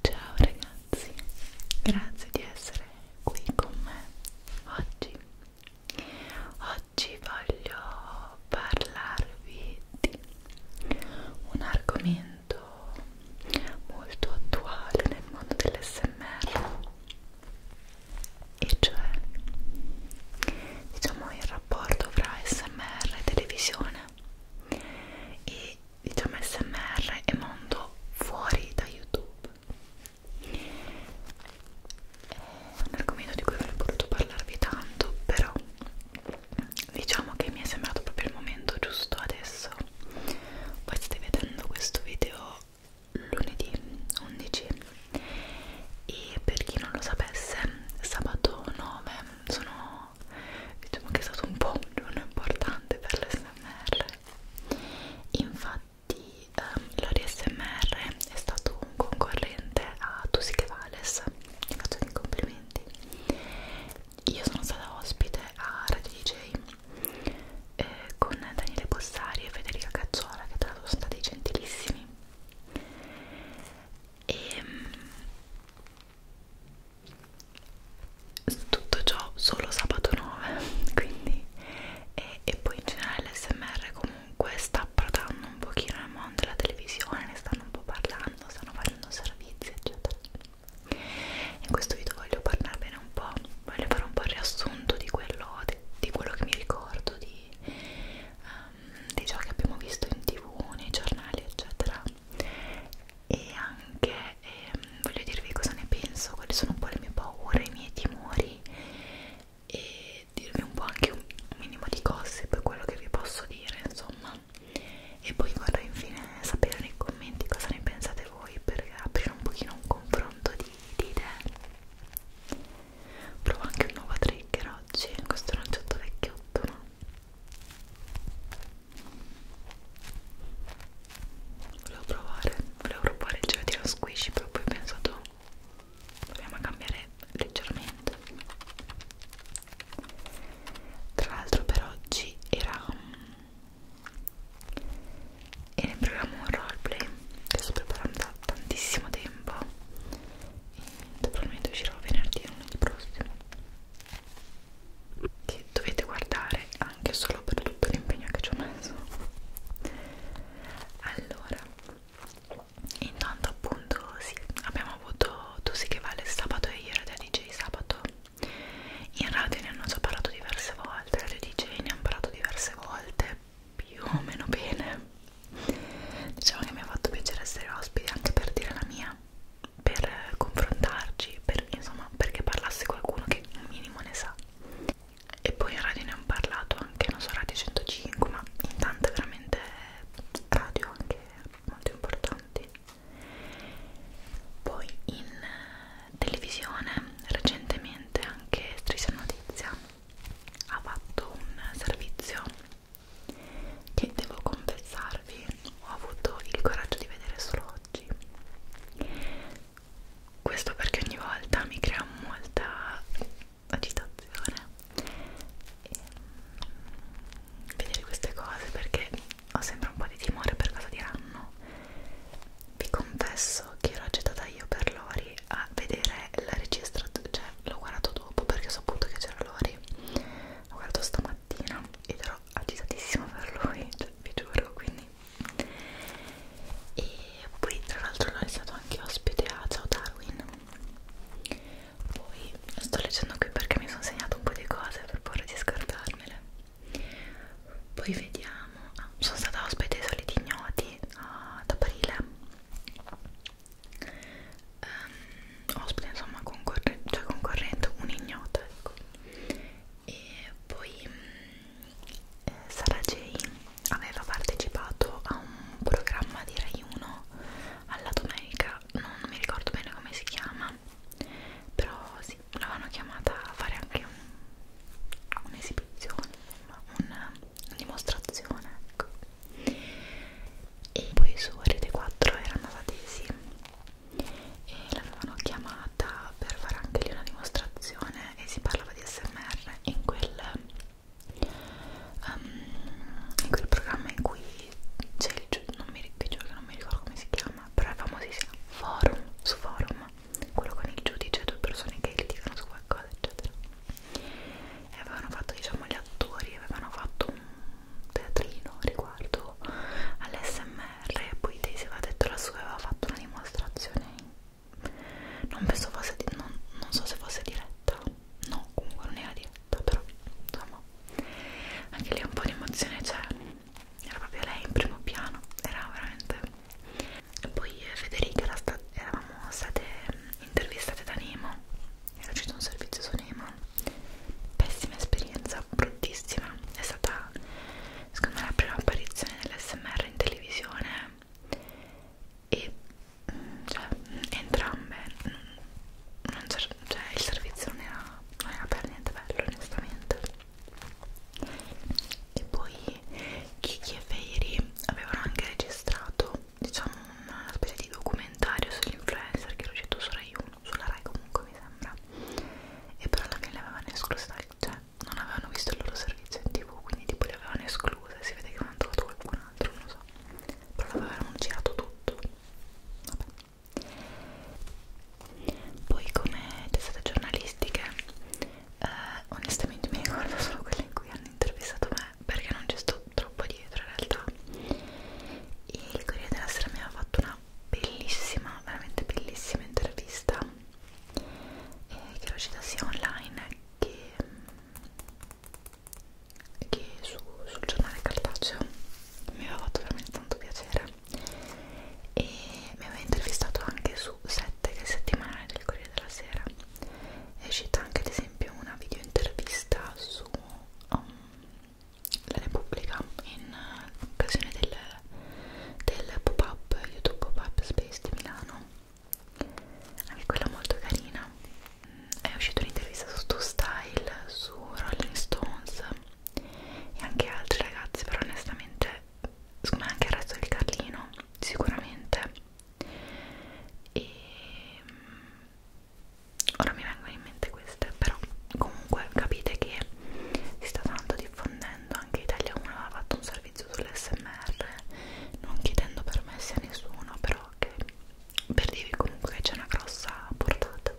Ciao ragazzi, grazie di essere qui con me oggi. Oggi voglio parlarvi di un argomento molto attuale nel mondo dell'SMR e cioè diciamo il rapporto fra smr e televisione e diciamo smr e mondo fuori da youtube è un argomento di cui avrei voluto parlarvi tanto però diciamo che mi è sembrato proprio il momento giusto adesso voi state vedendo questo video lunedì 11 e per chi non lo sapesse sabato 9 sono diciamo che è stato un po' un giorno importante per l'SMR infatti ehm, l'ASMR è stato un concorrente a Tusiche Vales ti faccio dei complimenti io sono stata ospite a Radio DJ eh, con Daniele Bossari e Federica Cazzuola che tra l'altro sono stati gentilissimi e ehm, tutto ciò solo sabato 9 quindi e, e poi in generale l'SMR comunque sta approdando un pochino nel mondo della televisione ne stanno un po' parlando, stanno facendo servizi eccetera in questo video voglio parlarvi bene un po', voglio fare un po' il riassunto di quello, di, di quello che mi ricordo, di, um, di ciò che abbiamo visto in tv, nei giornali, eccetera. E anche ehm, voglio dirvi cosa ne penso, quali sono un po' le mie paure, i miei timori e dirvi un po' anche un minimo di gossip, quello che vi posso dire, insomma. E poi vorrei infine sapere nei commenti cosa ne pensate voi per aprire un pochino un confronto di nitide provo anche un nuovo trigger oggi questo aranciotto vecchiotto no? volevo provare volevo provare il gelatino squishy però poi ho pensato proviamo a cambiare leggermente tra l'altro per oggi era um, e ne proviamo un roleplay che sto preparando da tantissimo tempo e probabilmente uscirò venerdì o lunedì prossimo che dovete guardare anche solo per tutto l'impegno che ci ho messo allora intanto appunto sì abbiamo avuto tu sì che vale sabato e ieri da DJ sabato in radio ne hanno già parlato diverse volte, radio DJ ne hanno parlato diverse volte, più o meno bene. Diciamo che mi ha fatto piacere essere ospite anche per dire la mia, per confrontarci, per, insomma, perché parlasse qualcuno che un minimo ne sa. E poi in radio ne hanno parlato anche, non so, Radio 105, ma in tante veramente radio anche molto importanti. Poi in televisione recentemente anche Striscia Notizia ha fatto un servizio che devo confessarvi ho avuto il coraggio di vedere solo oggi questo perché ogni volta mi crea molta agitazione e mm, vedere queste cose perché ho sempre un po' di timore per cosa diranno vi confesso che ero agitata io per Lori a vedere la registrazione, cioè l'ho guardato dopo perché ho saputo che c'era Lori, l'ho guardato stamattina ed ero agitatissima per lui, cioè, vi giuro, quindi e poi tra l'altro Lori è stato anche ospite a Ciao Darwin poi sto leggendo qui perché mi sono segnato un po' di cose per paura di scartarmele poi vediamo ah, sono stata ospite ai soliti ignoti ah, ad aprile um, ospite insomma concorre cioè concorrente un ignoto ecco. e poi mm, eh, Sara J aveva partecipato a un programma di Rai 1 alla domenica non mi ricordo bene come si chiama però sì, l'avevano chiamata a fare anche un'esibizione, un una dimostrazione, ecco. E poi su Rete 4 erano andata tesi e l'avevano chiamata per fare anche lì una dimostrazione e si parlava di SMR in quel, um, in quel programma in cui c'è il non mi, ricordo, non mi ricordo come si chiama, però è famosissimo, Forum, su Forum quello con il giudice, due persone che litigano su qualcosa, eccetera. E avevano fatto, diciamo, gli attori avevano fatto un teatrino riguardo all'SMR e poi Daisy aveva detto la sua aveva fatto una dimostrazione. Non penso fosse di, non, non so se fosse diretta. No, comunque non era diretta, però insomma. Anche lì un po' di emozione c'è. Era proprio lei in primo piano, era veramente poi Federica era sta eravamo state mm, intervistate da Nemo era uscito un servizio su Nemo pessima esperienza, bruttissima è stata secondo me la prima apparizione dell'SMR in televisione e mm, cioè, mm, entrambe non cioè il servizio non era, non era per niente bello onestamente e poi Kiki e Feiri avevano anche registrato diciamo una specie di documentario sull'influencer che era uscito su Rai 1 sulla Rai comunque mi sembra e però alla fine le avevano escluse cioè non avevano visto il loro servizio in tv quindi tipo le avevano escluse si vede che avevano trovato qualcun altro non lo so però l'avevano girato tutto vabbè poi come testate giornalistiche eh, onestamente mi ricordo solo quelle in cui hanno intervistato me perché non ci sto troppo dietro in realtà e il Corriere della Sera mi aveva fatto una bellissima, veramente bellissima intervista eh, che lo cita sia online che, che su, sul giornale cartaceo mi aveva fatto veramente tanto piacere e mi aveva intervistato anche su su 7 che è settimanale del Corriere della Sera è uscita anche ad esempio una video intervista su um, la Repubblica in uh, occasione del, del pop-up YouTube pop-up Space di Milano anche quella molto carina mm, è uscita un'intervista su Two Style su Rolling Stones e anche altri ragazzi però onestamente secondo me anche il resto del Carlino sicuramente e mm, ora mi vengono in mente queste però comunque capite che si sta tanto diffondendo anche Italia 1 aveva fatto un servizio sull'SMR non chiedendo permessi a nessuno però che per dirvi comunque che c'è una grossa portata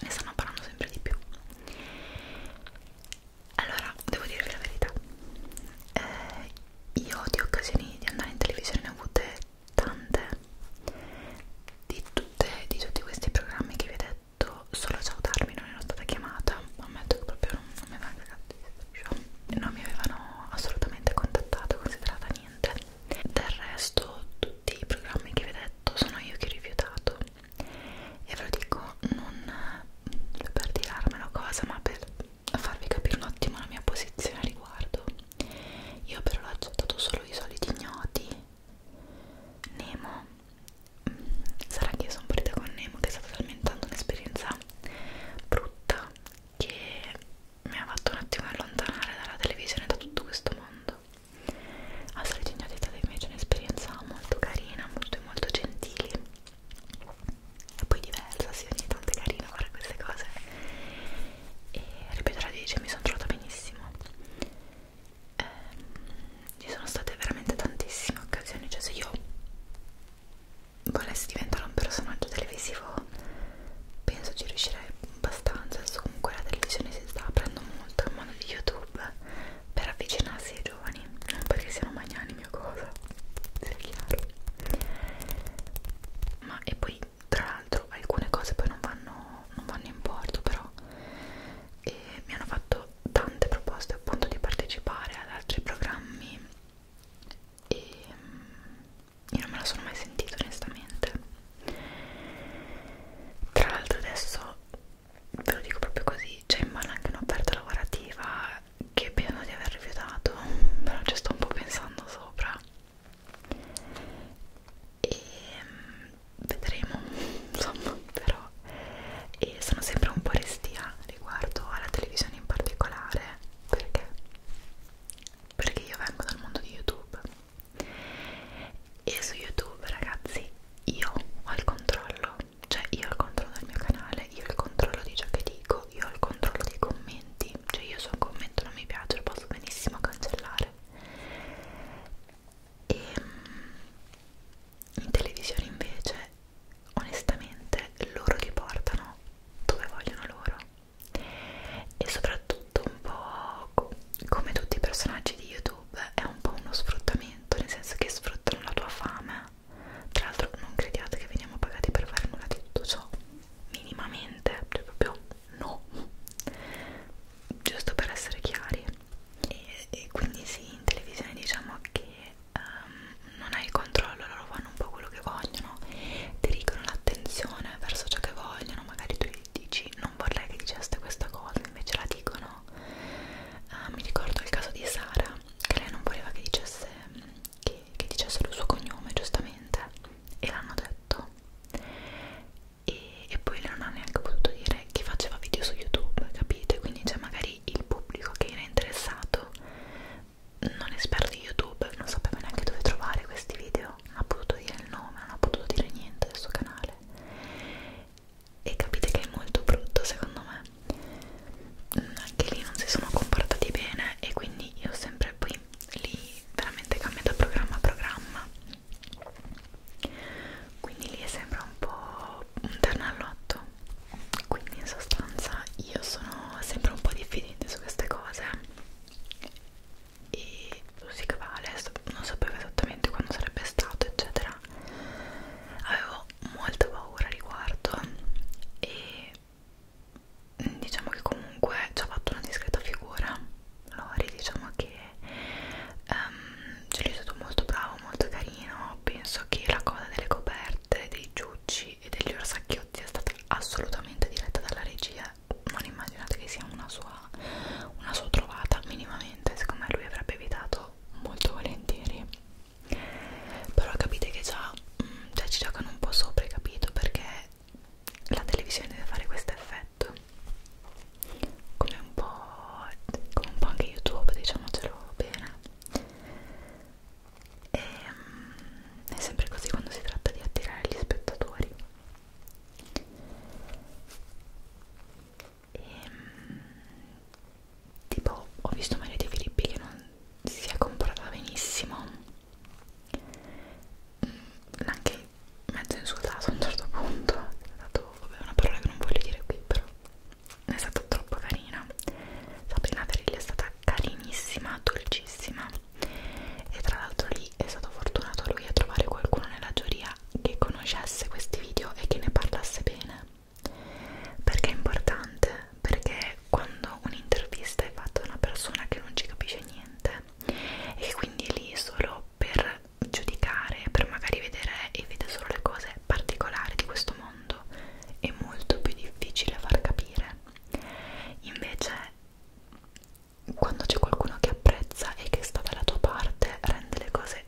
ne stanno parlando sempre di più allora, devo dirvi la verità. Eh, io di occasioni di andare in televisione ne ho avute tante. Di, tutte, di tutti questi programmi che vi ho detto, solo a salutarmi non ero stata chiamata. Ammetto che proprio non, non mi avevano cagato Non mi avevano assolutamente contattato, considerata niente. Del resto, tutti i programmi che vi ho detto sono io che ho rifiutato. Ecco. e ve lo dico non per tirarmelo cosa ma per farvi capire un attimo la mia posizione a riguardo io però l'ho accettato solo i soliti ignoti Nemo sarà che io sono partita con Nemo che è stata talmente tanto un'esperienza brutta che mi ha fatto un attimo allontanare dalla televisione da tutto questo mondo a solito ignoti è stata invece un'esperienza molto carina molto e molto gentile e poi diversa, sì, ogni tanto è carino fare queste cose e ripeto la dice, mi sono trovata benissimo ehm, ci sono state veramente tantissime occasioni, cioè se io volessi diventare un personaggio televisivo penso ci riuscirei abbastanza, adesso comunque la televisione si sta aprendo molto in modo di YouTube per avvicinarsi ai giovani, non perché siano magnanimi o cosa, sia chiaro. Ma e poi tra l'altro alcune cose poi non vanno, non vanno in porto però e eh, mi hanno fatto tante proposte appunto di partecipare ad altri programmi e io non me la sono mai sentita onestamente tra l'altro adesso ve lo dico proprio così c'è in mano anche un'offerta lavorativa che penso di aver rifiutato però ci sto un po' pensando sopra e mm, vedremo insomma però e sono sempre un po' restia riguardo alla televisione in particolare perché perché io vengo dal mondo di youtube e su youtube ragazzi io ho il controllo cioè io ho il controllo del mio canale, io ho il controllo di ciò che dico, io ho il controllo dei commenti, cioè io se un commento non mi piace lo posso benissimo cancellare. E ehm, in televisione invece, onestamente, loro li portano dove vogliono loro e soprattutto un po' come tutti i personaggi di YouTube è un po' uno sfruttamento, nel senso che sfruttano la tua fama tra l'altro non crediate che veniamo pagati per fare nulla di tutto ciò, minimamente, cioè proprio no, giusto per essere chiari. E, e quindi sì, in televisione diciamo che um, non hai il controllo, loro fanno un po' quello che vogliono, dirigono l'attenzione verso ciò che vogliono, magari tu gli dici non vorrei che diceste questa cosa, invece la dicono. Uh, mi ricordo il caso di Sara che lei non voleva che dicesse, che, che dicesse il suo cognome giustamente e l'hanno detto e, e poi non ha neanche potuto dire chi faceva video su YouTube, capite? Quindi c'è cioè, magari il pubblico che era interessato, non esperto di YouTube, non sapeva neanche dove trovare questi video, non ha potuto dire il nome, non ha potuto dire niente del suo canale e capite che è molto brutto secondo me mm, anche lì non si sono comportati bene e quindi io sempre poi lì veramente cambio da programma a programma quindi lì sembra un po' un ternallotto quindi in sostanza io sono sempre un po' diffidente su queste cose e così che vale non sapevo esattamente quando sarebbe stato eccetera avevo ho molta paura al riguardo e mm, diciamo che comunque ci ha fatto una discreta figura Lori diciamo che um, ce l'hai stato molto bravo, molto carino penso che la cosa delle coperte, dei giucci e degli orsacchiotti è stata assolutamente diretta dalla regia non immaginate che sia una sua, una sua trovata minimamente secondo me lui avrebbe evitato molto volentieri però capite che già mh, mm, cioè ci giocano un po' sopra capito perché la televisione deve fare questo effetto come un po' come un po' anche youtube diciamocelo bene e ehm, mh, è sempre così quando si tratta di attirare gli spettatori e, ehm, tipo ho visto Maria De Filippi che non si è comprata benissimo mm, anche mezzo insultato a un certo punto è stato, vabbè, una parola che non voglio dire qui però è stata troppo carina Sabrina Ferilli è stata carinissima, dolcissima e tra l'altro lì è stato fortunato lui a trovare qualcuno nella giuria che conoscesse questi video e che ne parlasse bene perché è importante? Perché quando un'intervista è fatta da una persona che non ci capisce niente e quindi è lì solo per giudicare, per magari vedere e vede solo le cose particolari di questo mondo, è molto più difficile far capire. Invece quando c'è qualcuno che apprezza e che sta dalla tua parte rende le cose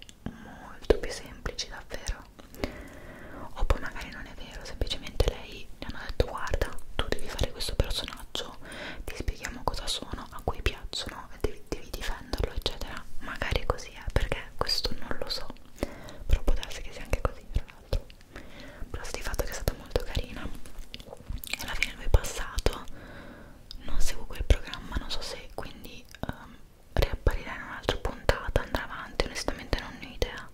molto più semplici davvero o poi magari non è vero semplicemente lei gli hanno detto guarda tu devi fare questo personaggio ti spieghiamo cosa sono a cui piacciono devi, devi difenderlo eccetera magari così è perché questo non lo so però può darsi che sia anche così tra l'altro però di fatto che è stata molto carina e alla fine lui è passato non seguo quel programma non so se quindi um, riapparirà in un'altra puntata, andrà avanti, onestamente non ho idea.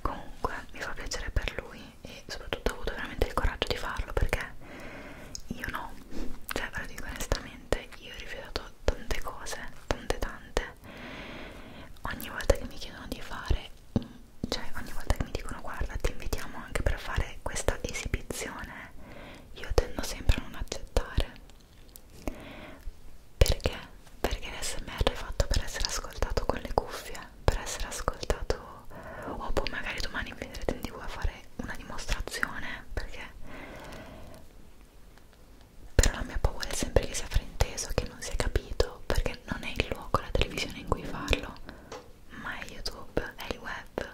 Comunque mi fa piacere per lui e soprattutto ho avuto veramente il coraggio di farlo perché io no, cioè ve lo dico onestamente, io ho rifiutato tante cose, tante tante. Ogni volta che mi chiedono di fare, cioè ogni volta che mi dicono guarda ti invitiamo anche per fare questa esibizione, io tendo sempre a non accettare perché? Perché l'SMR è fatto per essere ascoltato con le cuffie, per essere ascoltato o poi boh, magari domani mi vedrete in tv a fare una dimostrazione, perché però la mia paura è sempre che sia frainteso, che non sia capito, perché non è il luogo, la televisione in cui farlo, ma è YouTube, è il web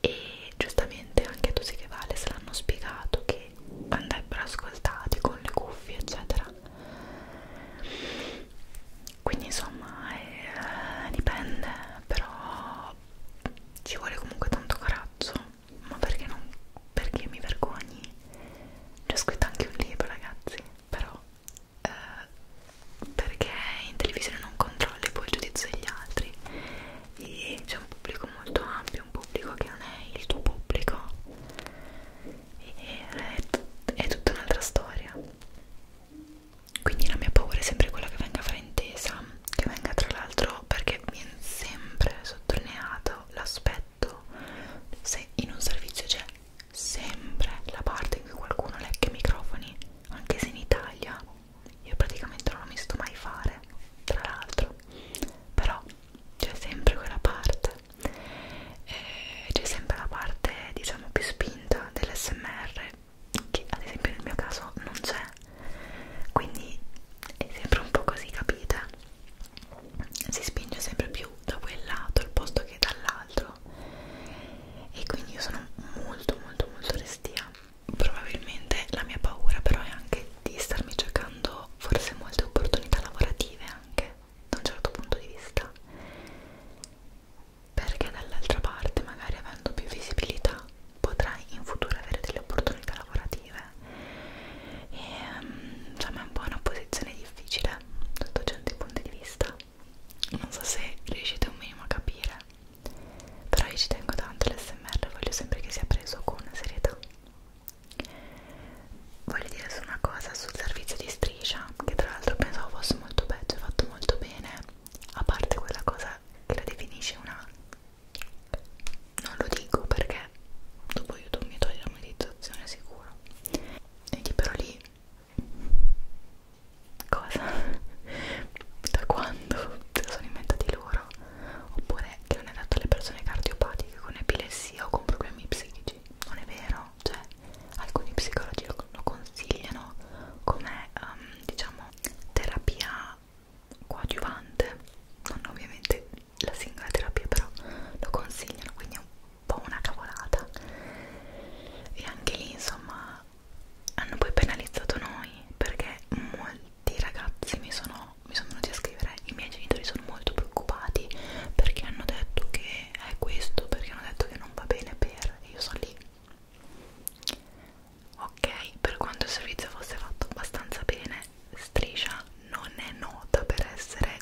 e giustamente anche tu sì che vale se l'hanno spiegato che che andrebbero ascoltati con le cuffie eccetera quindi insomma eh, dipende però ci vuole comunque tanto coraggio ma perché non perché mi vergogni C'è cioè, scritto anche un libro ragazzi però eh, perché in televisione non controlli poi il giudizio degli altri e c'è un pubblico molto ampio un pubblico che non è il tuo pubblico e è tutta un'altra storia quindi la mia paura è sempre quella che venga fraintesa che venga tra l'altro perché viene sempre sottolineato l'aspetto se in un servizio c'è sempre la parte in cui qualcuno lecca i microfoni anche se in Italia io praticamente non l'ho visto mai fare tra l'altro però c'è sempre quella parte eh, c'è sempre la parte diciamo più spinta dell'SMR che ad esempio nel mio caso non c'è quindi è sempre un po' così capite si spinge sempre più da quel lato al posto che dall'altro e quindi io sono molto molto molto restia probabilmente la mia paura però è anche di starmi cercando però forse molte opportunità lavorative anche da un certo punto di vista perché dall'altra parte magari avendo più visibilità potrai in futuro avere delle opportunità lavorative e ehm, insomma è un po' una posizione difficile sotto certi punti di vista non so se riuscite un minimo a capire però io ci tengo tanto l'SMR voglio sempre che sia preso con serietà voglio dire su una cosa sul servizio di striscia che tra l'altro pensavo fosse molto peggio cioè, fatto molto bene a parte quella cosa che la definisce una non lo dico perché dopo youtube mi toglie la monetizzazione sicuro e però lì cosa da quando se lo sono inventati loro ADHD oppure che non è adatto alle persone cardiopatiche con epilessia o con problemi psichici non è vero, cioè alcuni psicologi lo, lo consigliano come um, diciamo terapia coadiuvante non ovviamente la singola terapia però lo consigliano quindi è un po' una cavolata e anche lì insomma hanno poi penalizzato noi perché mol tanti ragazzi mi sono, mi sono venuti a scrivere i miei genitori sono molto preoccupati perché hanno detto che è questo perché hanno detto che non va bene per e io sono lì ok per quanto il servizio fosse fatto abbastanza bene Striscia non è nota per essere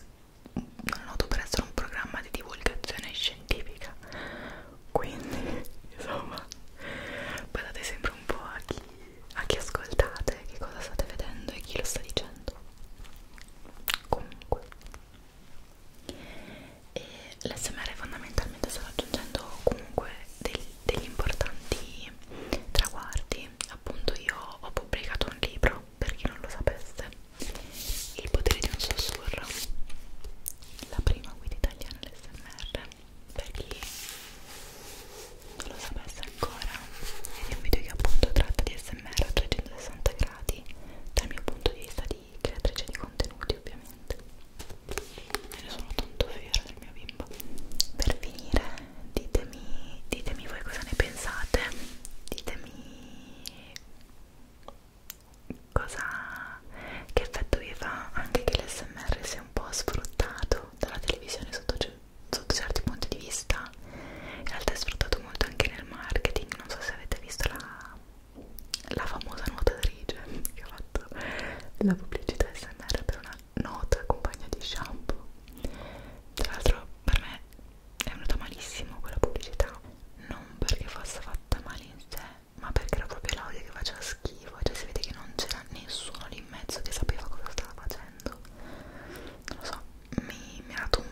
non è noto per essere un programma di divulgazione scientifica quindi insomma badate sempre un po' a chi a chi ascoltate, che cosa state vedendo e chi lo sta dicendo. Comunque, e l'SMR fondamentalmente sta raggiungendo comunque del, degli importanti traguardi. Appunto, io ho pubblicato un libro per chi non lo sapesse, Il potere di un sussurro, la prima guida italiana all'SMR per chi non lo sapesse ancora ed è un video che appunto tratta di smr a 360 gradi dal mio punto di vista di creatrice di contenuti ovviamente me ne sono tanto fiera del mio bimbo per finire ditemi ditemi voi cosa ne pensate ditemi cosa che effetto vi fa anche che l'SMR sia un po' sfruttato dalla televisione sotto sotto certi punti di vista in realtà è sfruttato molto anche nel marketing non so se avete visto la, la famosa nuotatrice che ha fatto la pubblicità smr per una nota compagna di shampoo tra l'altro per me è venuta malissimo quella pubblicità non perché fosse fatta male in sé ma perché era proprio l'audio che faceva schifo cioè si vede che non c'era nessuno lì in mezzo che sapeva cosa stava facendo facendo non lo so mi, mi ha dato un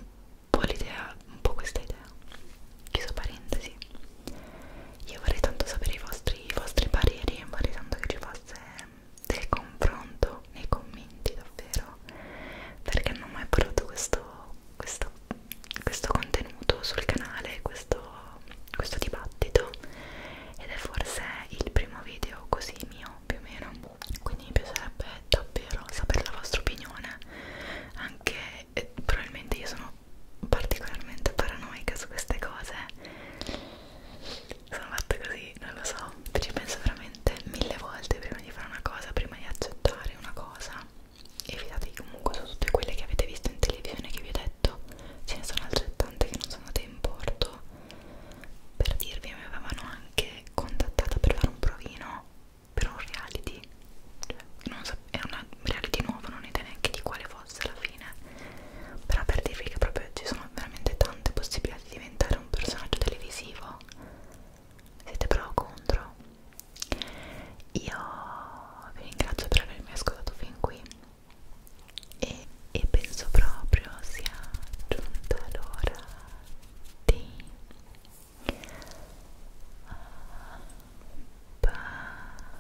po' l'idea un po' questa idea chiuso parentesi io vorrei tanto sapere i vostri, i vostri pareri vorrei tanto che ci fosse del confronto nei commenti davvero perché non ho mai provato questo, questo, questo contenuto sul canale questo, questo dibattito ed è forse il primo video così mio meno, più o meno quindi mi piacerebbe davvero sapere la vostra opinione anche eh, probabilmente io sono particolarmente paranoica su queste cose sono fatta così, non lo so ci penso veramente mille volte prima di fare una cosa, prima di accettare una cosa e fidatevi comunque su tutte quelle che avete visto in televisione che vi ho detto ce ne sono altrettante che non sono andate in porto per dirvi mi avevano anche contattata per fare un provino per un reality cioè, non so, era una reality nuova non idea neanche di quale fosse alla fine però per dirvi che proprio ci sono veramente tante possibilità di diventare un personaggio televisivo siete però contro io vi ringrazio per avermi ascoltato fin qui e, e penso proprio sia giunta l'ora di passare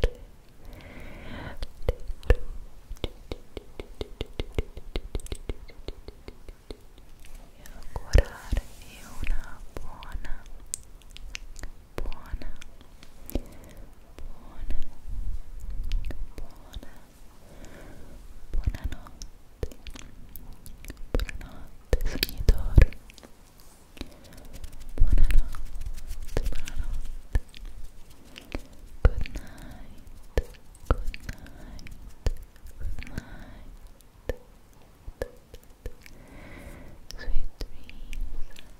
le e augurarvi una buona buona buona, buona, buonanotte, buonanotte sognitori, buonanotte, buonanotte, good night, good night, good night, sweet dreams.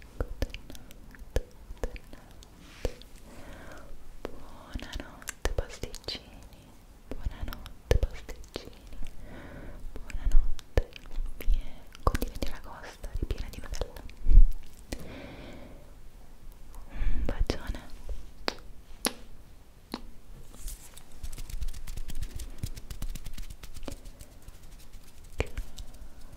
buonanotte pasticcini, buonanotte pasticcini, buonanotte, condividi la costa ripiena di novella. Un bacione. Ciao,